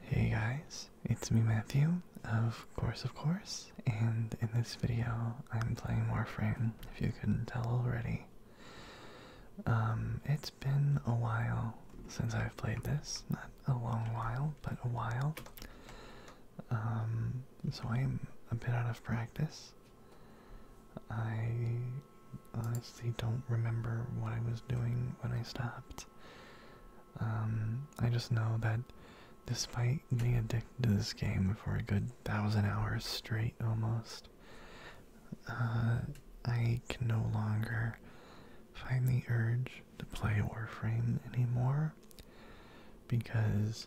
Hey guys, it's me Matthew, of course of course, and in this video I'm playing Warframe, if you couldn't tell already. Um, it's been a while since I've played this, not a long while, but a while. Um, so I'm a bit out of practice. I honestly don't remember what I was doing when I stopped. Um, I just know that despite being addicted to this game for a good thousand hours straight almost, uh, I can no longer find the urge to play Warframe anymore because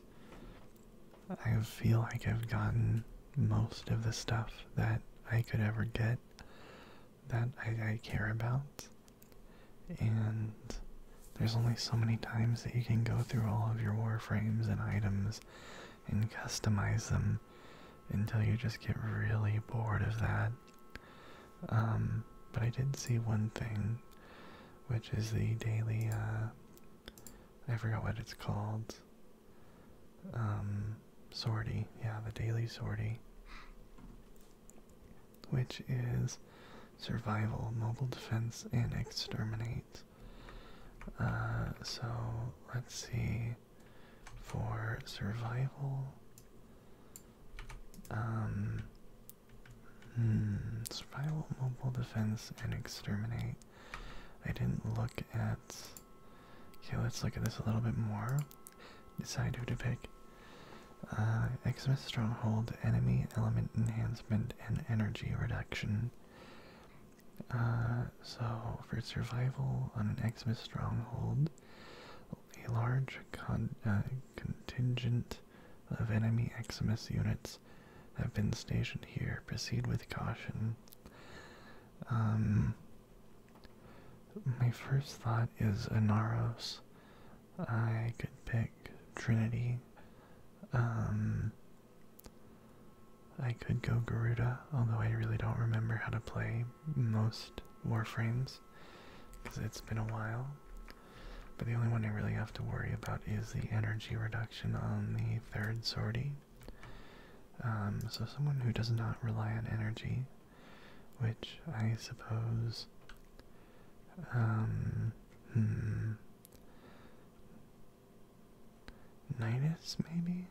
I feel like I've gotten most of the stuff that I could ever get that I, care about. And there's only so many times that you can go through all of your warframes and items and customize them until you just get really bored of that. Um, but I did see one thing, which is the daily, uh, I forgot what it's called. Um, sortie, yeah, the daily sortie, which is survival, mobile defense, and exterminate. Uh, so let's see. For survival, um, hmm, survival, mobile defense, and exterminate. I didn't look at. Okay, let's look at this a little bit more. Decide who to pick. Uh, Eximus Stronghold, Enemy Element Enhancement, and Energy Reduction. Uh, so, for survival on an Eximus Stronghold, a large uh, contingent of enemy Eximus units have been stationed here. Proceed with caution. Um, my first thought is Anaros. I could pick Trinity. Um, I could go Garuda, although I really don't remember how to play most Warframes because it's been a while. But the only one I really have to worry about is the energy reduction on the third sortie. Um, so someone who does not rely on energy which I suppose, um, hmm, Ninus maybe?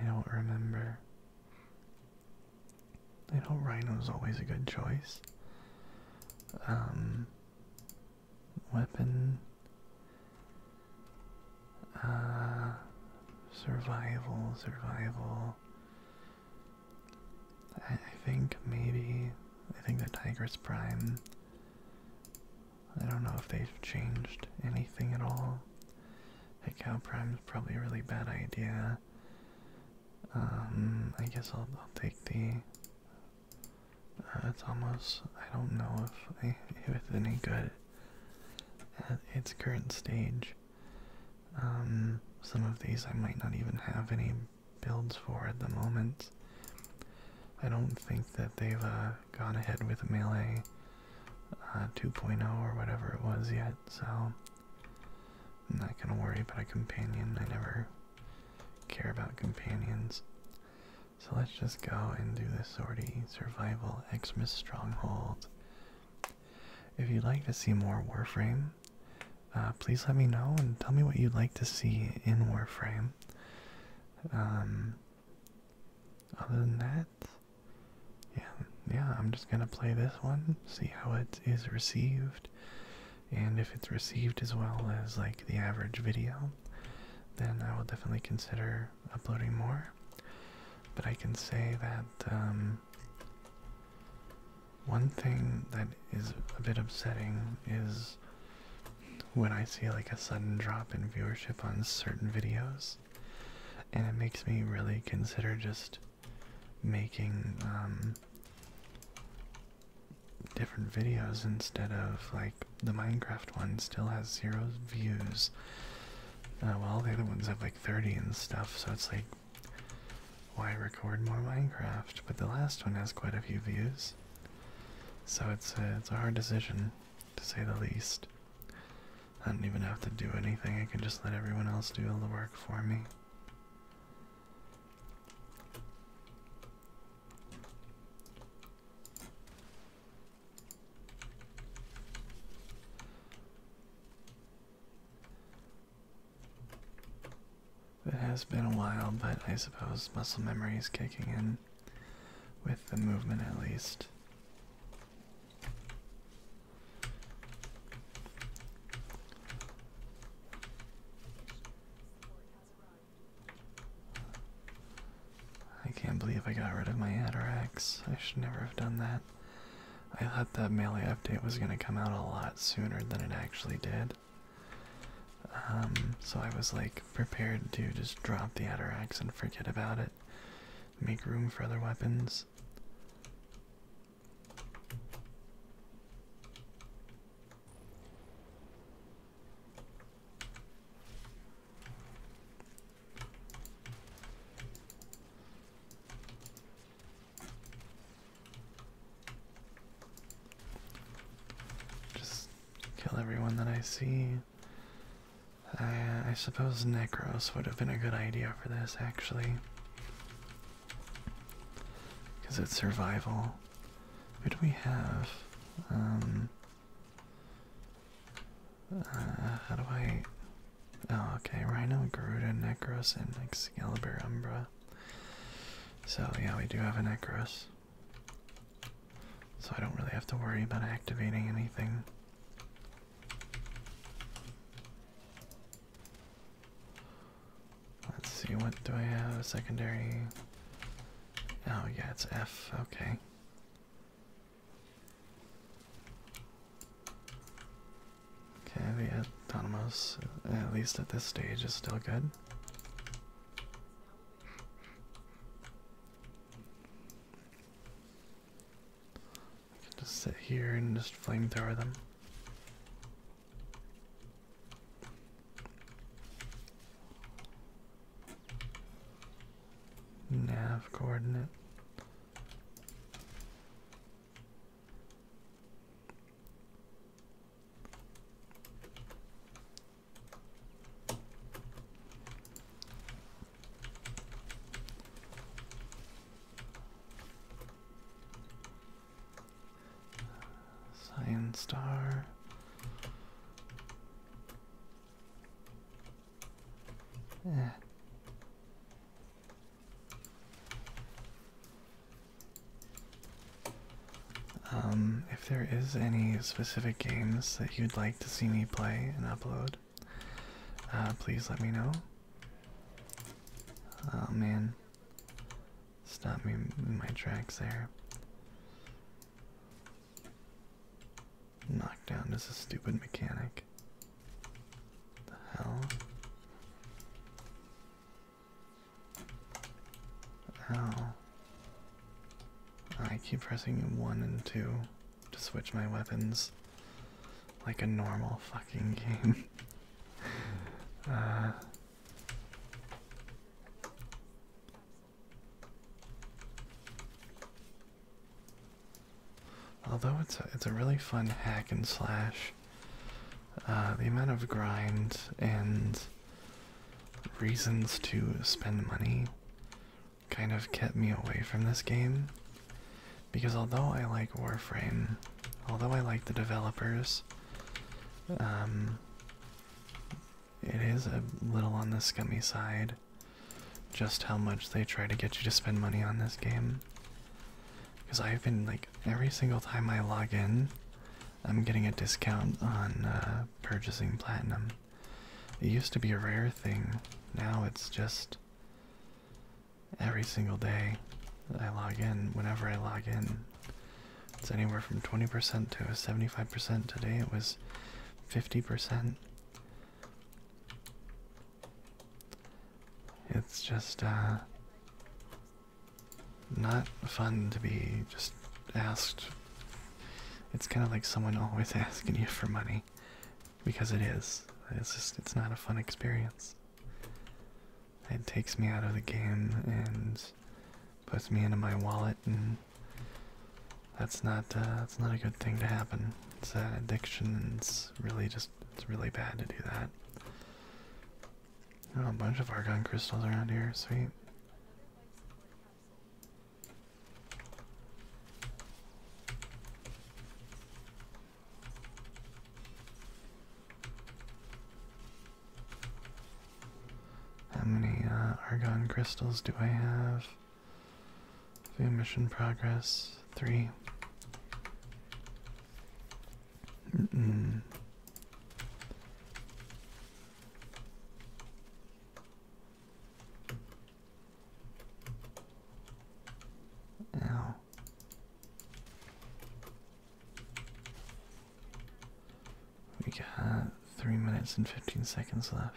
I don't remember. I know rhino is always a good choice. Um, weapon, uh, survival, survival. I, think maybe I think the Tigress Prime. I don't know if they've changed anything at all. Heck, cow prime's probably a really bad idea. Um, I guess I'll, I'll take the. Uh, it's almost. I don't know if it's any good at its current stage. Um, some of these I might not even have any builds for at the moment. I don't think that they've uh, gone ahead with Melee uh, 2.0 or whatever it was yet, so I'm not going to worry about a companion. I never care about companions. So let's just go and do this sortie survival Xmas stronghold. If you'd like to see more Warframe, uh, please let me know and tell me what you'd like to see in Warframe. Um, other than that, yeah, yeah, I'm just gonna play this one, see how it is received, and if it's received as well as like the average video, then I will definitely consider uploading more. But I can say that um, one thing that is a bit upsetting is when I see like a sudden drop in viewership on certain videos, and it makes me really consider just making um, different videos instead of like the Minecraft one still has zero views. Uh, while the other ones have like 30 and stuff, so it's like why record more Minecraft? But the last one has quite a few views, so it's a, it's a hard decision, to say the least. I don't even have to do anything. I can just let everyone else do all the work for me. It has been a while, but I suppose muscle memory is kicking in with the movement at least. I can't believe I got rid of my Atarax. I should never have done that. I thought that melee update was going to come out a lot sooner than it actually did. Um, so I was like prepared to just drop the Atarax and forget about it, make room for other weapons. Just kill everyone that I see. I, suppose Necros would have been a good idea for this, actually. Because it's survival. Who do we have? Um, uh, how do I Oh, okay. Rhino, Garuda, Necros, and Excalibur, Umbra. So, yeah, we do have a Necros. So I don't really have to worry about activating anything. Let's see, what do I have? Secondary. Oh, yeah, it's F. Okay. Okay, the autonomous, at least at this stage, is still good. I can just sit here and just flamethrower them. Nav coordinate. Cyan Star. Eh. Um, if there is any specific games that you'd like to see me play and upload, uh, please let me know. Oh man, stop me in my tracks there. Knockdown is a stupid mechanic. The hell? Oh. I keep pressing 1 and 2 to switch my weapons like a normal fucking game. Uh, although it's it's a really fun hack and slash uh, the amount of grind and reasons to spend money kind of kept me away from this game. Because although I like Warframe, although I like the developers, um, it is a little on the scummy side just how much they try to get you to spend money on this game. Because I've been like every single time I log in, I'm getting a discount on uh, purchasing platinum. It used to be a rare thing, now it's just every single day that I log in, whenever I log in. It's anywhere from 20% to 75%. Today it was 50%. It's just, uh, not fun to be just asked. It's kind of like someone always asking you for money because it is. It's just, it's not a fun experience. It takes me out of the game and puts me into my wallet, and that's not uh, that's not a good thing to happen. It's an uh, addiction. it's really just it's really bad to do that a bunch of argon crystals around here, sweet. How many uh, argon crystals do I have? View mission progress, three. Mm We got three minutes and fifteen seconds left.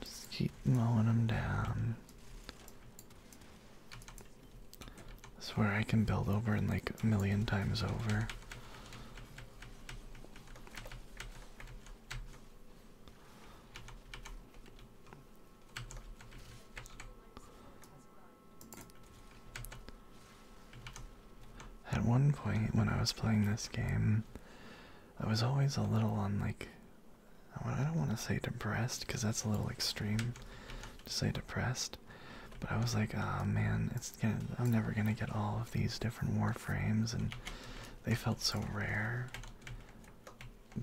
Just keep mowing them down. That's where I can build over and like a million times over. At one point when I was playing this game, I was always a little on like I don't want to say depressed because that's a little extreme to say depressed. But I was like, oh man, it's gonna, I'm never gonna get all of these different warframes, and they felt so rare.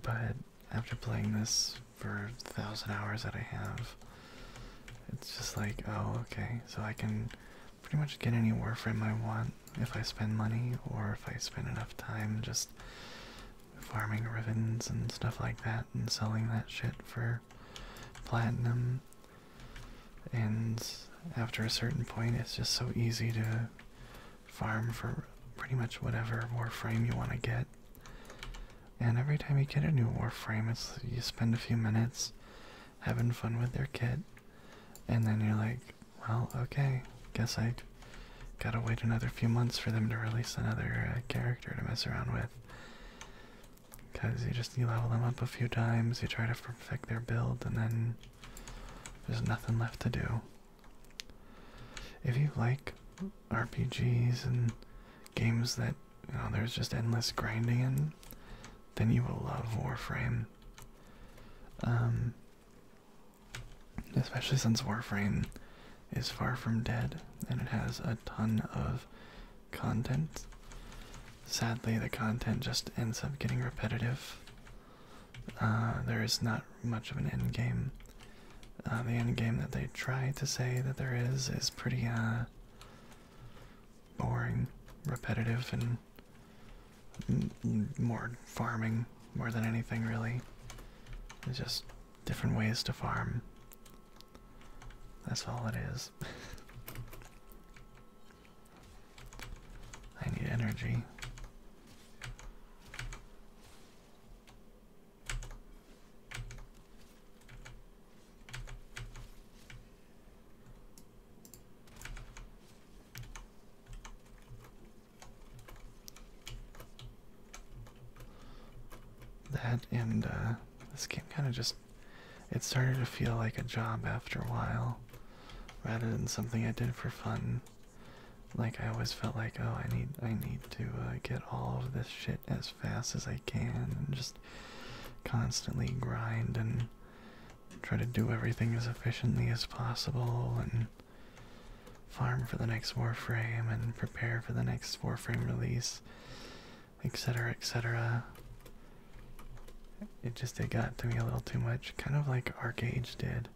But after playing this for a thousand hours that I have, it's just like, oh okay, so I can pretty much get any warframe I want if I spend money or if I spend enough time just farming ribbons and stuff like that and selling that shit for platinum. And after a certain point, it's just so easy to farm for pretty much whatever Warframe you want to get. And every time you get a new Warframe, it's you spend a few minutes having fun with their kit and then you're like, well, okay, guess I gotta wait another few months for them to release another uh, character to mess around with. Because you just level them up a few times, you try to perfect their build, and then there's nothing left to do. If you like RPGs and games that you know there's just endless grinding then you will love Warframe. Um, Especially since Warframe is far from dead and it has a ton of content. Sadly, the content just ends up getting repetitive. Uh, there is not much of an end game. Uh, the end game that they try to say that there is is pretty uh, boring, repetitive, and more farming more than anything really. It's just different ways to farm. That's all it is. I need energy. That and uh, this game kind of just. It started to feel like a job after a while rather than something I did for fun. Like I always felt like, oh, I need, I need to uh, get all of this shit as fast as I can, and just constantly grind and try to do everything as efficiently as possible, and farm for the next Warframe and prepare for the next Warframe release, etc. etc. It just it got to me a little too much, kind of like Arcage did,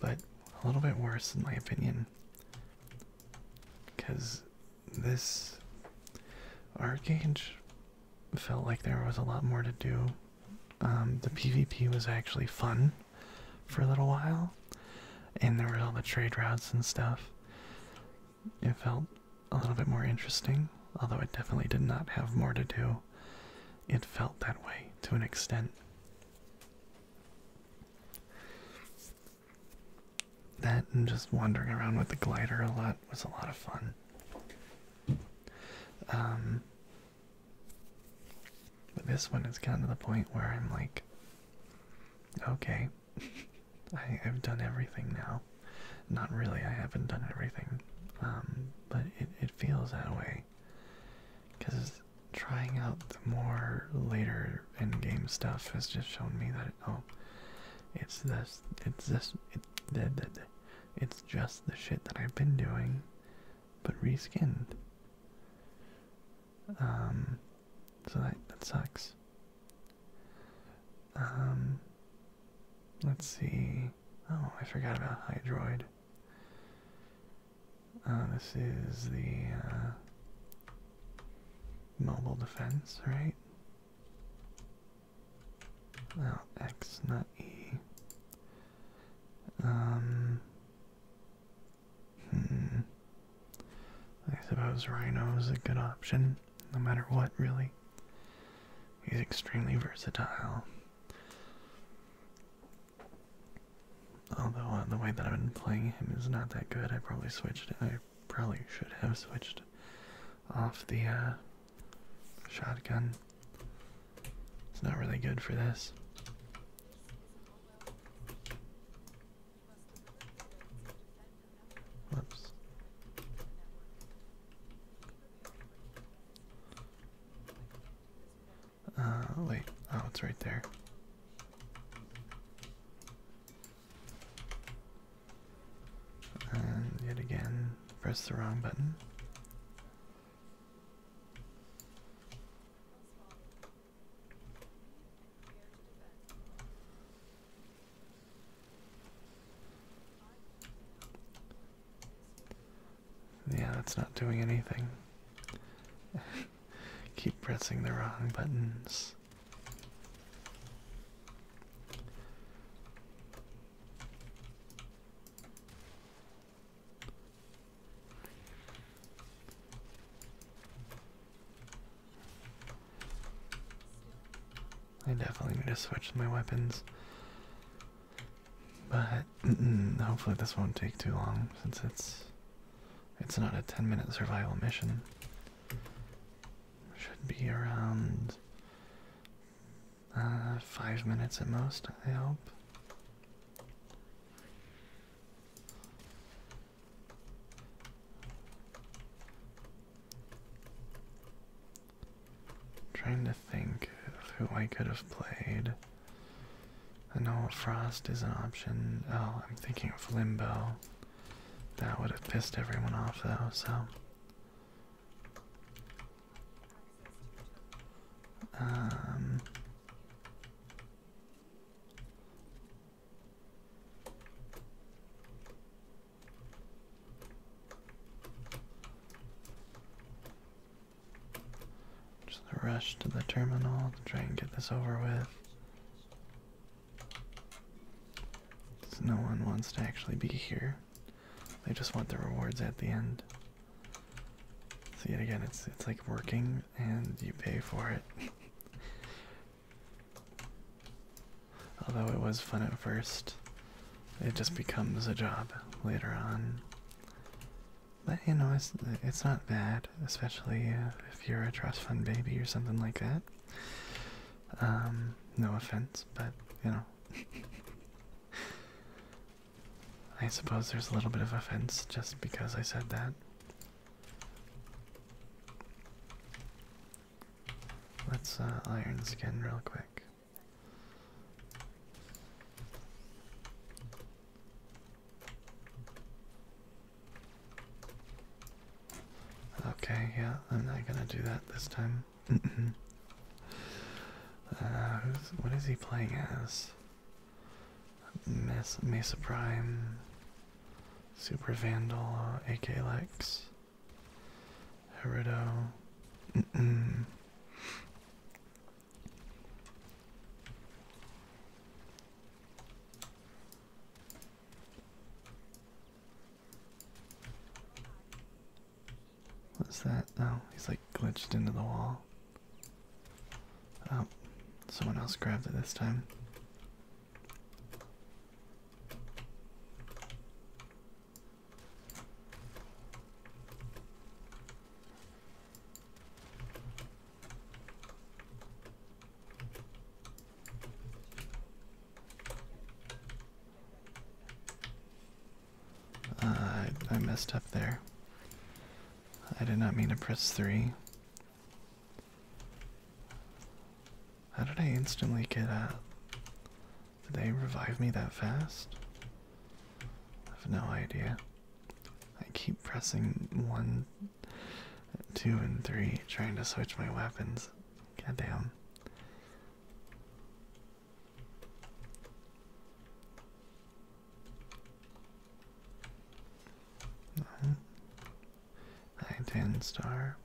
but a little bit worse in my opinion. Because this Arcage felt like there was a lot more to do um, the PvP was actually fun for a little while, and there were all the trade routes and stuff. It felt a little bit more interesting, although it definitely did not have more to do. It felt that way to an extent. That and just wandering around with the glider a lot was a lot of fun. Um, but this one is kind of the point where I'm like, okay, I, have done everything now. Not really, I haven't done everything, um, but it, feels that way. Because trying out the more later end game stuff has just shown me that oh, it's this, it's this, it, it's just the shit that I've been doing but reskinned. Um, so that, that sucks. Um, let's see. Oh, I forgot about Hydroid. Uh, this is the uh, mobile defense, right? Well, X, not E. Um, Hmm. I suppose Rhino is a good option, no matter what, really. He's extremely versatile. Although uh, the way that I've been playing him is not that good, I probably switched. I probably should have switched off the uh, shotgun. It's not really good for this. Whoops. Uh, wait. Oh, it's right there. And yet again, press the wrong button. Yeah, that's not doing anything. Keep pressing the wrong buttons. I definitely need to switch my weapons. But hopefully this won't take too long since it's it's not a 10 minute survival mission. Should be around uh, five minutes at most, I hope. Trying to think of who I could have played. I know Frost is an option. Oh, I'm thinking of Limbo. That would have pissed everyone off though, so. Um, just going rush to the terminal to try and get this over with. no one wants to actually be here. They just want the rewards at the end. So yet again, it's it's like working and you pay for it. Although it was fun at first, it just becomes a job later on. But you know, it's it's not bad, especially if you're a trust fund baby or something like that. Um, no offense, but you know. I suppose there's a little bit of offense just because I said that. Let's uh, iron skin real quick. Okay, yeah, I'm not gonna do that this time. uh, who's, what is he playing as? Mesa Prime, Super Vandal, uh, AK Lex, Herudo. What's that? Oh, he's like glitched into the wall. Oh, someone else grabbed it this time. Uh, I, I messed up there. I did not mean to press 3. How did I instantly get up? Did they revive me that fast? I have no idea. I keep pressing 1, 2, and 3, trying to switch my weapons. God damn. No. Nine ten star.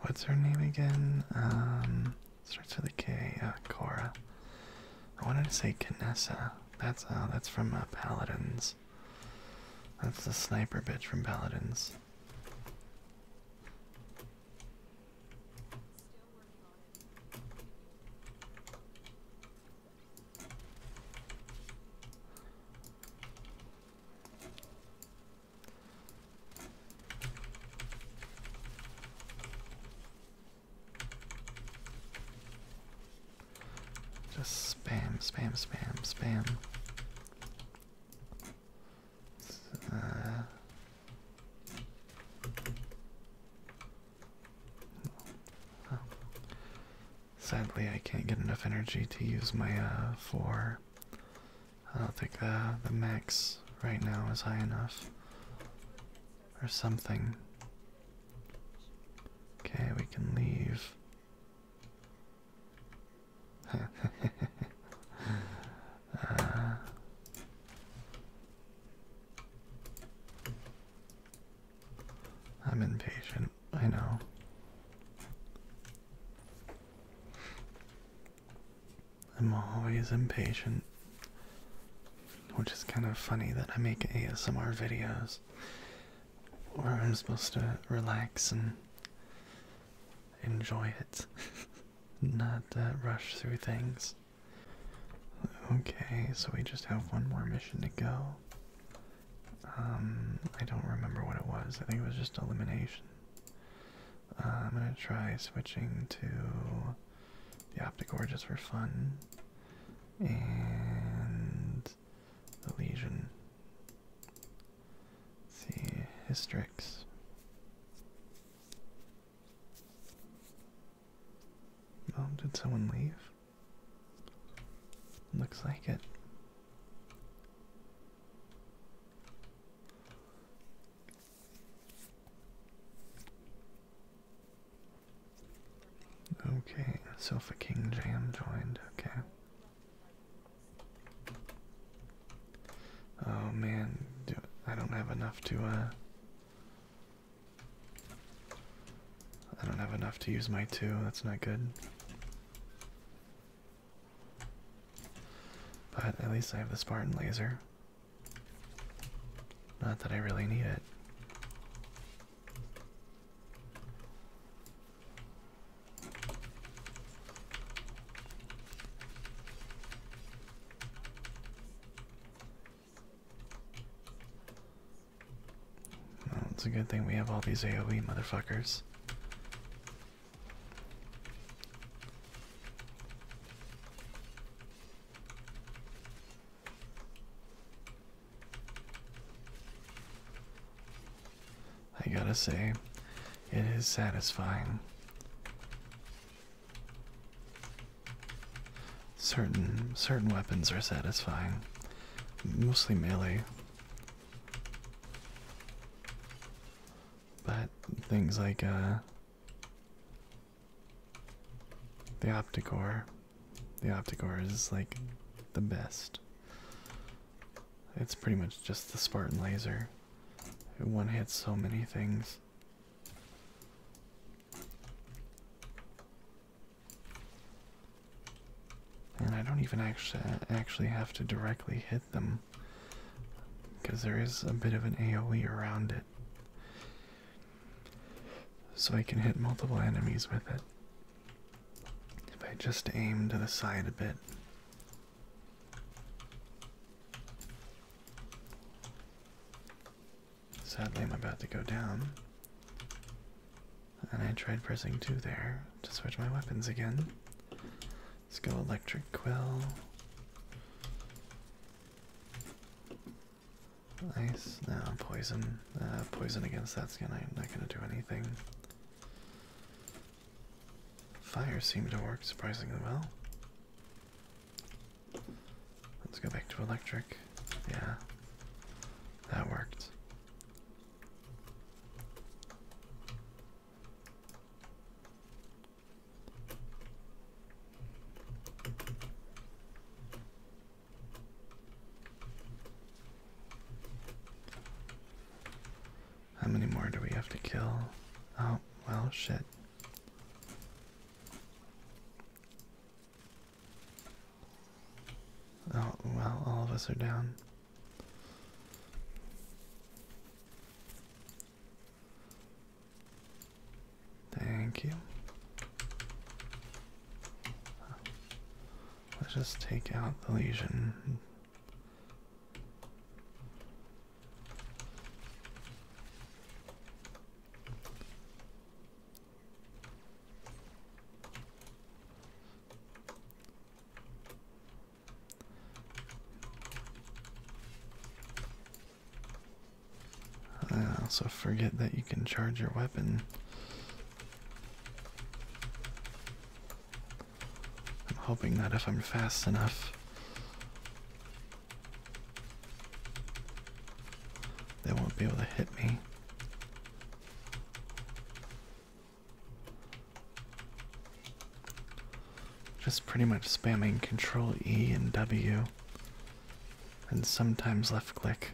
What's her name again? Um, starts with a K. Uh, Cora. I wanted to say Canessa. That's uh, that's from uh, Paladins. That's the sniper bitch from Paladins. Just spam, spam, spam, spam. Uh, sadly, I can't get enough energy to use my uh, four. I don't think uh, the max right now is high enough. Or something. Okay, we can leave. I'm impatient, I know. I'm always impatient, which is kind of funny that I make ASMR videos where I'm supposed to relax and enjoy it, not uh, rush through things. Okay, so we just have one more mission to go. Um, I don't remember what it was. I think it was just elimination. Uh, I'm gonna try switching to the Optic Orges for fun and the Legion. Let's see, Hystrix. Oh, did someone leave? Looks like it. Okay, Sofa King Jam joined, okay. Oh man, I don't have enough to, uh, I don't have enough to use my two, that's not good. But at least I have the Spartan laser. Not that I really need it. Well, it's a good thing we have all these AoE motherfuckers. I gotta say, it is satisfying. Certain certain weapons are satisfying, mostly melee. But things like uh, the Opticore, the Opticore is like the best. It's pretty much just the Spartan laser. It one hits so many things. And I don't even actually actually have to directly hit them because there is a bit of an AoE around it. So I can hit multiple enemies with it. If I just aim to the side a bit, Sadly, I'm about to go down. And I tried pressing 2 there to switch my weapons again. Let's go electric quill. Nice. Now poison. Uh, poison against that skin, I'm not gonna do anything. Fire seemed to work surprisingly well. Let's go back to electric. Yeah, that worked. How many more do we have to kill? Oh, well, shit. Oh, well, all of us are down. Thank you. Let's just take out the lesion I also forget that you can charge your weapon. I'm hoping that if I'm fast enough, they won't be able to hit me. Just pretty much spamming Control E and W, and sometimes left click.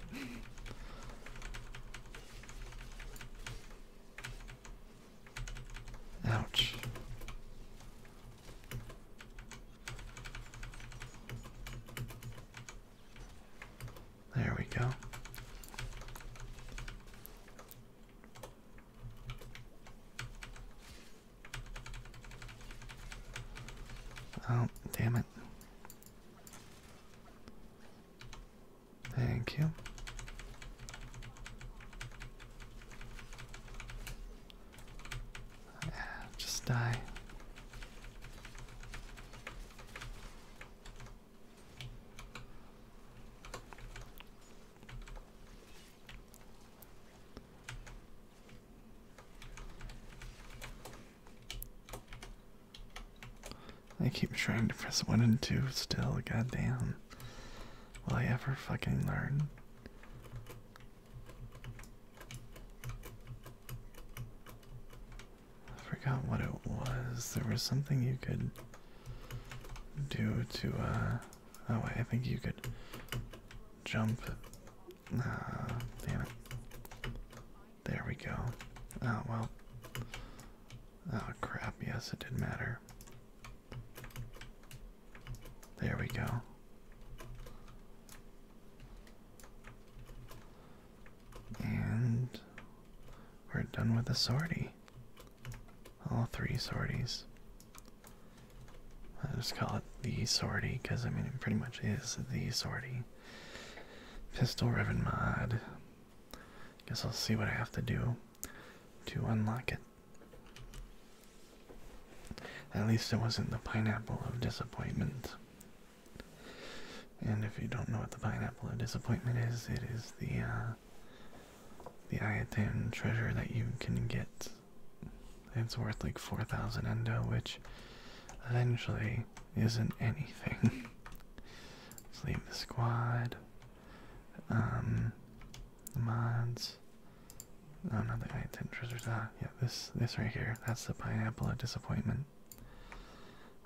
Ouch. There we go. Oh, damn it. Thank you. Ah, just die. I keep trying to press one and two still, goddamn. Will I ever fucking learn? I forgot what it was. There was something you could do to, uh, oh, I think you could jump. Ah, damn it. There we go. Oh, well. Oh, crap. Yes, it did matter. There we go. And we're done with the sortie. All three sorties. I just call it the sortie because I mean it pretty much is the sortie. Pistol ribbon mod. Guess I'll see what I have to do to unlock it. At least it wasn't the pineapple of disappointment. And if you don't know what the pineapple of disappointment is, it is the uh, the Iatan treasure that you can get. It's worth like 4,000 endo, which eventually isn't anything. Let's leave the squad. Um, mods. i No, not the guy treasures. Ah, yeah, this this right here. That's the pineapple of disappointment.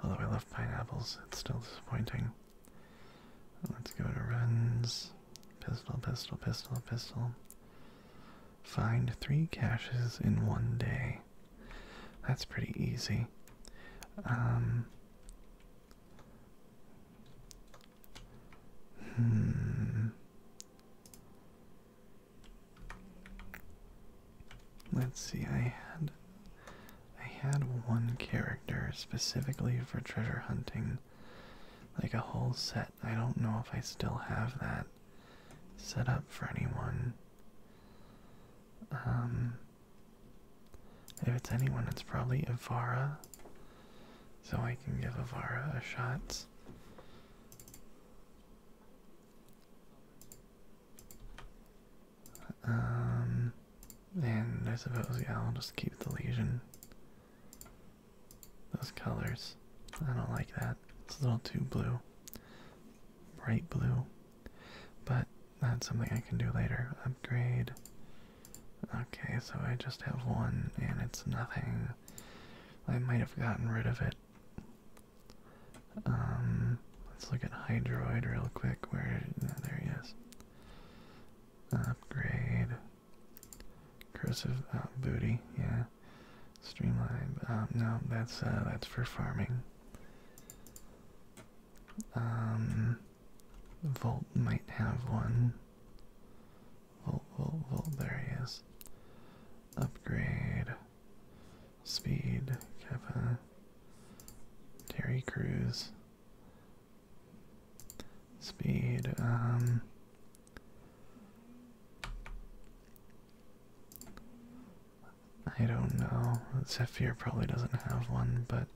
Although I love pineapples, it's still disappointing. Let's go to runs. Pistol, pistol, pistol, pistol. Find three caches in one day. That's pretty easy. Um, Hmm. Let's see. I had I had one character specifically for treasure hunting, like a whole set. I don't know if I still have that set up for anyone. Um, if it's anyone, it's probably Ivara so I can give Avara a shot. Um, and I suppose, yeah, I'll just keep the lesion. Those colors. I don't like that. It's a little too blue. Bright blue. But that's something I can do later upgrade. Okay, so I just have one and it's nothing. I might have gotten rid of it. Um, let's look at Hydroid real quick. Where, there he is. Upgrade. Cursive, uh, booty, yeah. Streamline, um, no, that's, uh, that's for farming. Um, Volt might have one. Volt, Volt, Volt, there he is. Upgrade. Speed, Kappa. Terry Cruise. Speed, um. I don't know. Zephyr probably doesn't have one, but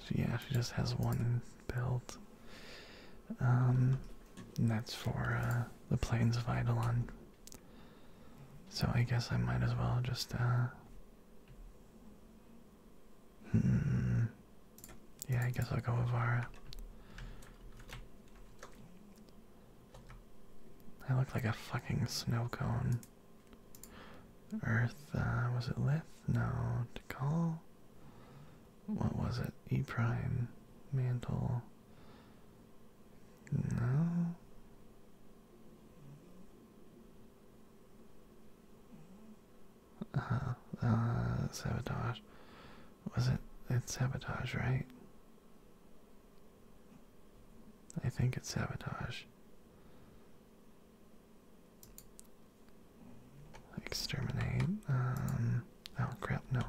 so yeah, she just has one belt. Um, and that's for uh, the plains of Eidolon. So I guess I might as well just uh, hmm, Yeah, I guess I'll go with Vara. I look like a fucking snow cone. Earth, uh, was it Lith? No, Tikal? What was it? E prime, mantle. No. Ah, uh, sabotage. Was it? It's sabotage, right? I think it's sabotage. Exterminate. Um, oh crap, no.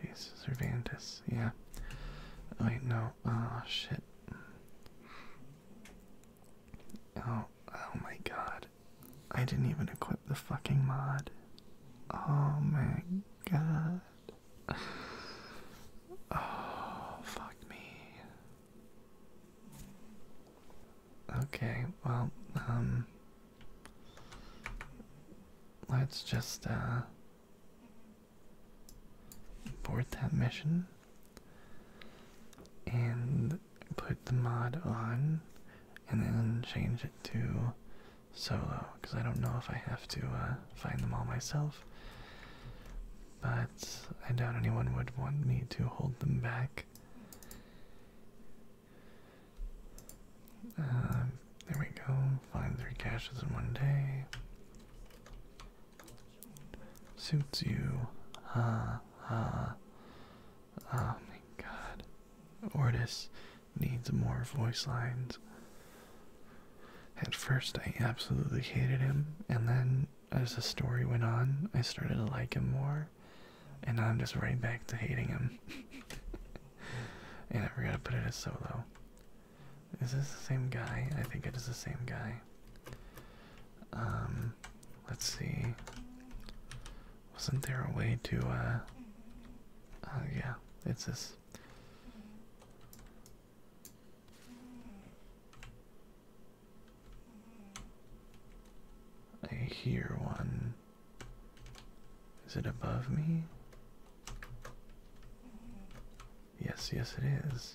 Jesus, Cervantes, yeah. Oh, wait, no. Oh, shit. Oh, oh my god. I didn't even equip the fucking mod. Oh my god. Oh, fuck me. Okay, well, um, let's just, abort uh, that mission and put the mod on and then change it to solo because I don't know if I have to uh, find them all myself but I doubt anyone would want me to hold them back. Uh, there we go. Find three caches in one day. Suits you. Ha ha. Oh my god. Ortis needs more voice lines. At first, I absolutely hated him, and then as the story went on, I started to like him more, and now I'm just right back to hating him. and I forgot to put it as solo. Is this the same guy? I think it is the same guy. Um, let's see. Wasn't there a way to, uh, oh yeah, it's this. I hear one. Is it above me? Yes, yes, it is.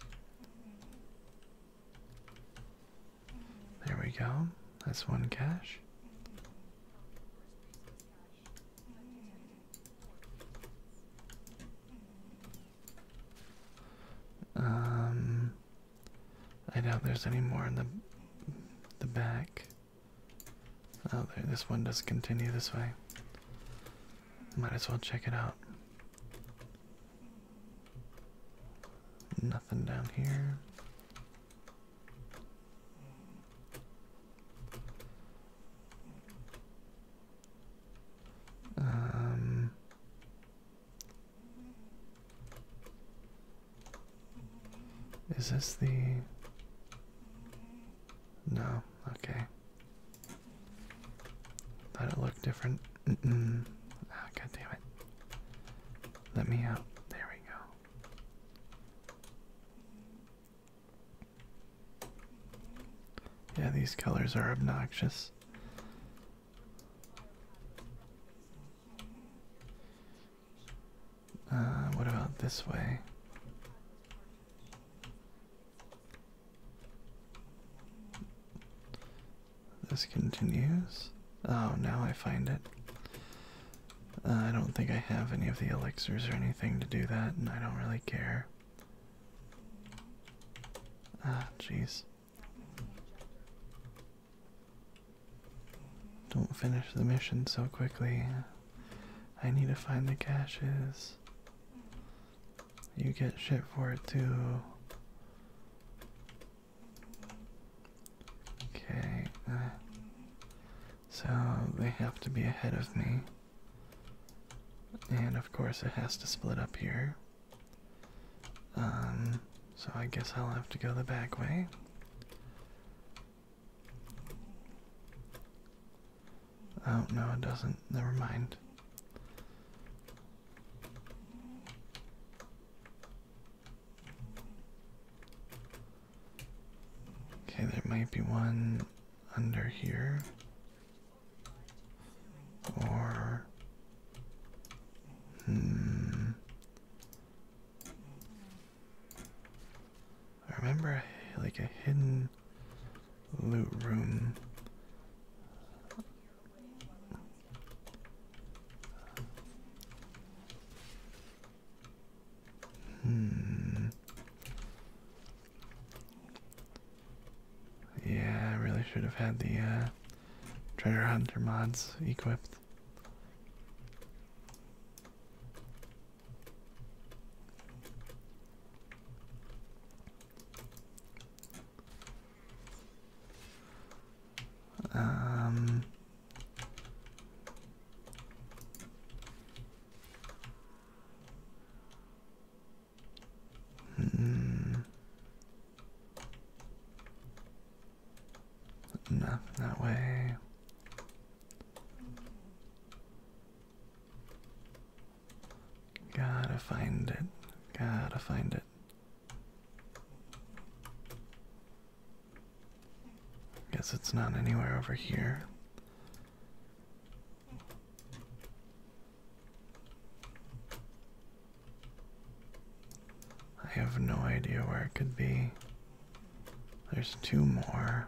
There we go. That's one cache. Um, I doubt there's any more in the the back. Oh, there, this one does continue this way. Might as well check it out. Nothing down here. Um, is this the. No, okay. Thought it looked different. Mm -mm. it. Let me out. Uh, there we go. Yeah, these colors are obnoxious. Uh, what about this way? This continues. Oh, now I find it. Uh, I don't think I have any of the elixirs or anything to do that, and I don't really care. Ah, jeez. Don't finish the mission so quickly. I need to find the caches. You get shit for it too. Okay. Uh, so they have to be ahead of me. And of course, it has to split up here. Um, so I guess I'll have to go the back way. Oh, no, it doesn't. Never mind. Okay, there might be one under here. Or Hmm. I remember like a hidden loot room. Hmm. Yeah, I really should have had the uh, treasure hunter mods equipped. Um. Mm no, that way. Gotta find it. Gotta find it. Guess it's not anywhere over here. I have no idea where it could be. There's two more.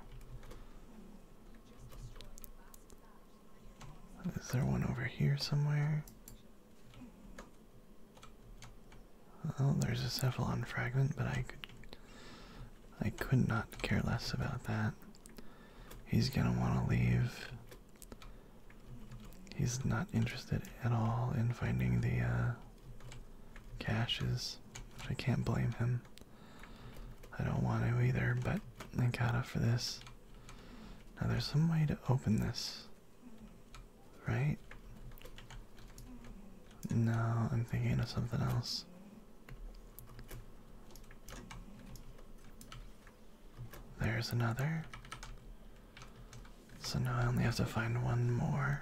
Is there one over here somewhere? Oh, there's a cephalon fragment, but I could I could not care less about that. He's gonna want to leave. He's not interested at all in finding the uh, caches, which I can't blame him. I don't want to either, but I gotta for this. Now there's some way to open this, right? No, I'm thinking of something else. There's another. So now I only have to find one more.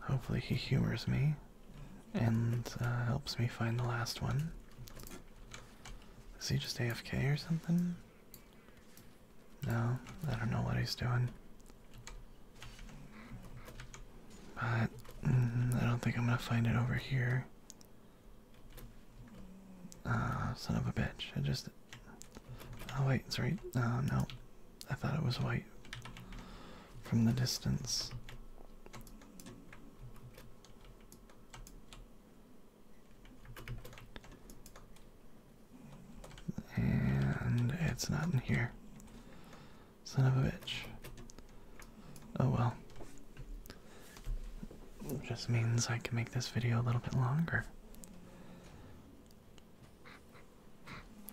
Hopefully, he humors me and uh, helps me find the last one. Is he just AFK or something? No, I don't know what he's doing. But mm, I don't think I'm gonna find it over here. Ah, son of a bitch. I just. Oh, wait, it's right. Uh, no. I thought it was white from the distance. And it's not in here. Son of a bitch. Oh well. It just means I can make this video a little bit longer.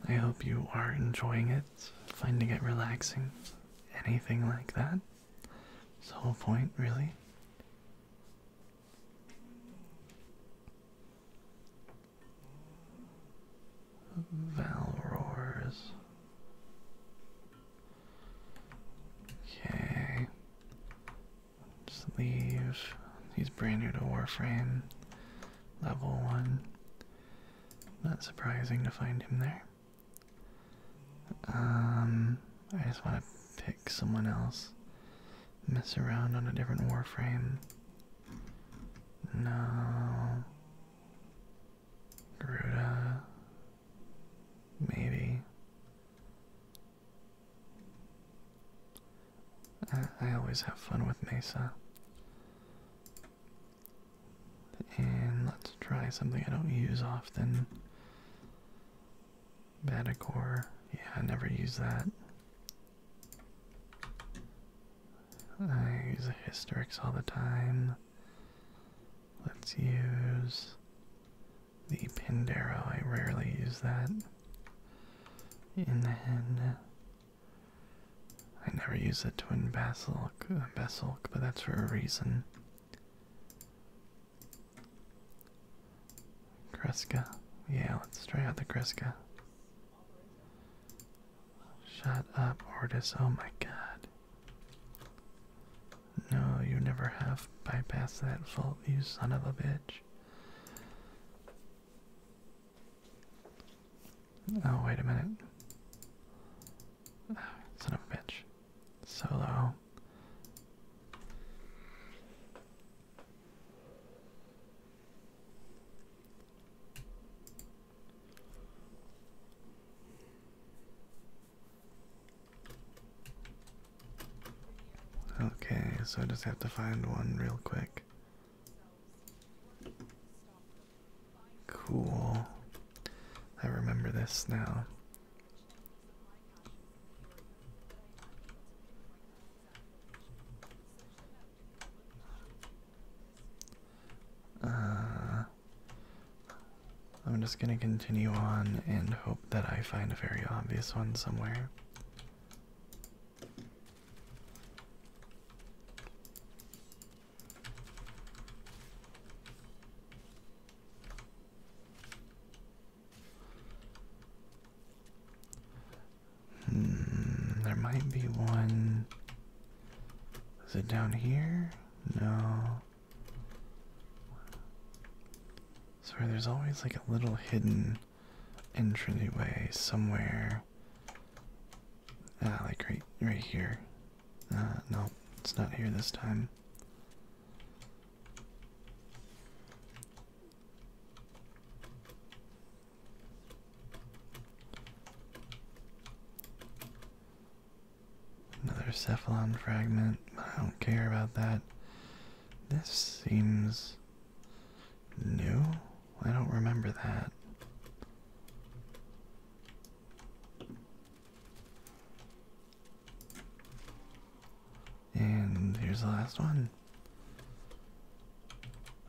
I hope you are enjoying it, finding it relaxing, anything like that. It's the whole point, really. Valroars. Okay leave. He's brand new to Warframe. Level 1. Not surprising to find him there. Um, I just want to pick someone else. Mess around on a different Warframe. No. Garuda. Maybe. I, always have fun with Mesa. And let's try something I don't use often. Batacore. Yeah, I never use that. I use Hystrix all the time. Let's use the pindaro. I rarely use that. And then I never use the twin basilic, uh, but that's for a reason. Kreska. Yeah, let's try out the Kreska. Shut up, Ortis. Oh my god. No, you never have bypassed that fault, you son of a bitch. Oh, wait a minute. Oh, son of a bitch. Solo. Okay, so I just have to find one real quick. Cool. I remember this now. Uh, I'm just gonna continue on and hope that I find a very obvious one somewhere there. Hmm, there might be one. Is it down here? No. So there's always like a little hidden entryway somewhere. Ah, like right, right here. Ah, no, it's not here this time. Another cephalon fragment. I don't care about that. This seems new. I don't remember that. And here's the last one.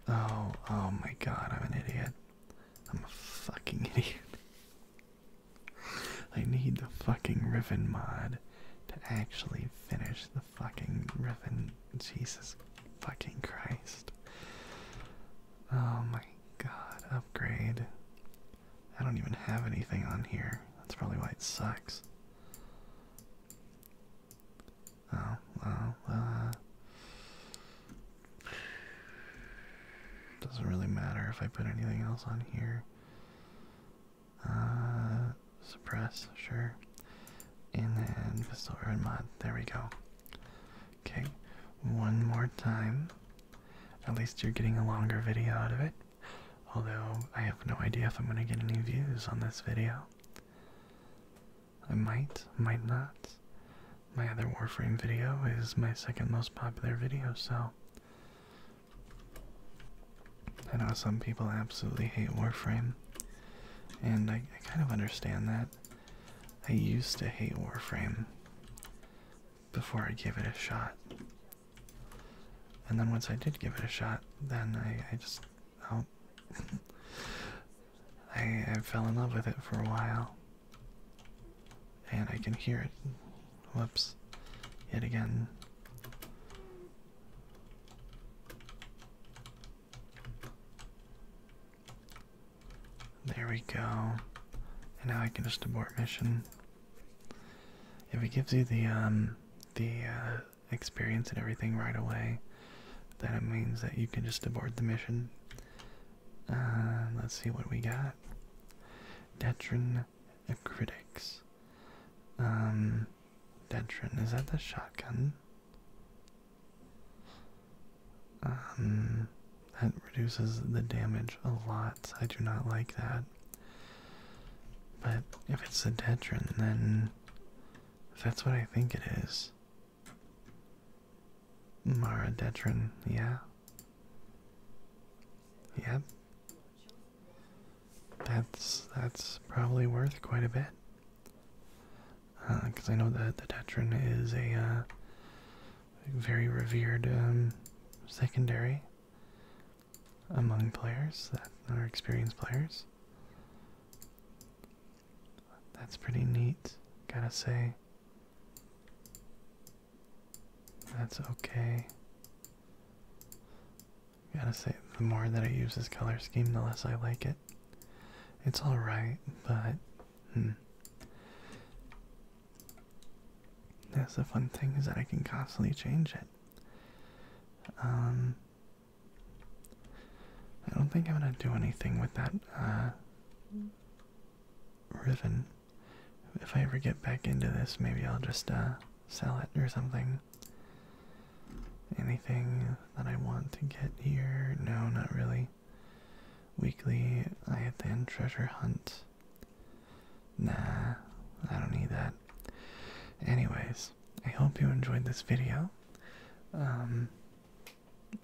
Oh, oh my god, I'm an idiot. I'm a fucking idiot. I need the fucking ribbon mod to actually finish the fucking ribbon. Jesus fucking Christ. Oh my god, upgrade. I don't even have anything on here. That's probably why it sucks. Oh, well, uh, Doesn't really matter if I put anything else on here. Uh, suppress, sure. And then pistol urban mod. There we go. Okay, one more time. At least you're getting a longer video out of it. Although I have no idea if I'm gonna get any views on this video. I might, might not. My other Warframe video is my second most popular video, so I know some people absolutely hate Warframe, and I, kind of understand that. I used to hate Warframe before I gave it a shot. And then once I did give it a shot, then I, just oh, I fell in love with it for a while. And I can hear it. Whoops. Yet again. There we go. And now I can just abort mission. If it gives you the um the uh, experience and everything right away, then it means that you can just abort the mission. Uh, let's see what we got. Detron critics. Um Detron, is that the shotgun? Um, that reduces the damage a lot. I do not like that. But if it's the Detron, then if that's what I think it is. Mara Detron, yeah. Yep that's that's probably worth quite a bit. Because uh, I know that the Tetron is a uh, very revered um, secondary among players that are experienced players. That's pretty neat, gotta say. That's okay. Gotta say, the more that I use this color scheme, the less I like it. It's alright, but. Hmm. That's the fun thing is that I can constantly change it. Um, I don't think I'm gonna do anything with that uh, ribbon. If I ever get back into this, maybe I'll just uh, sell it or something anything. that I want to get here? No, not really. Weekly, I have then treasure hunt. Nah, I don't need that. Anyways, I hope you enjoyed this video. Um,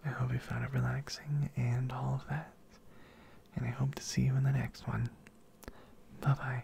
I hope you found it relaxing and all of that. And I hope to see you in the next one. Bye bye.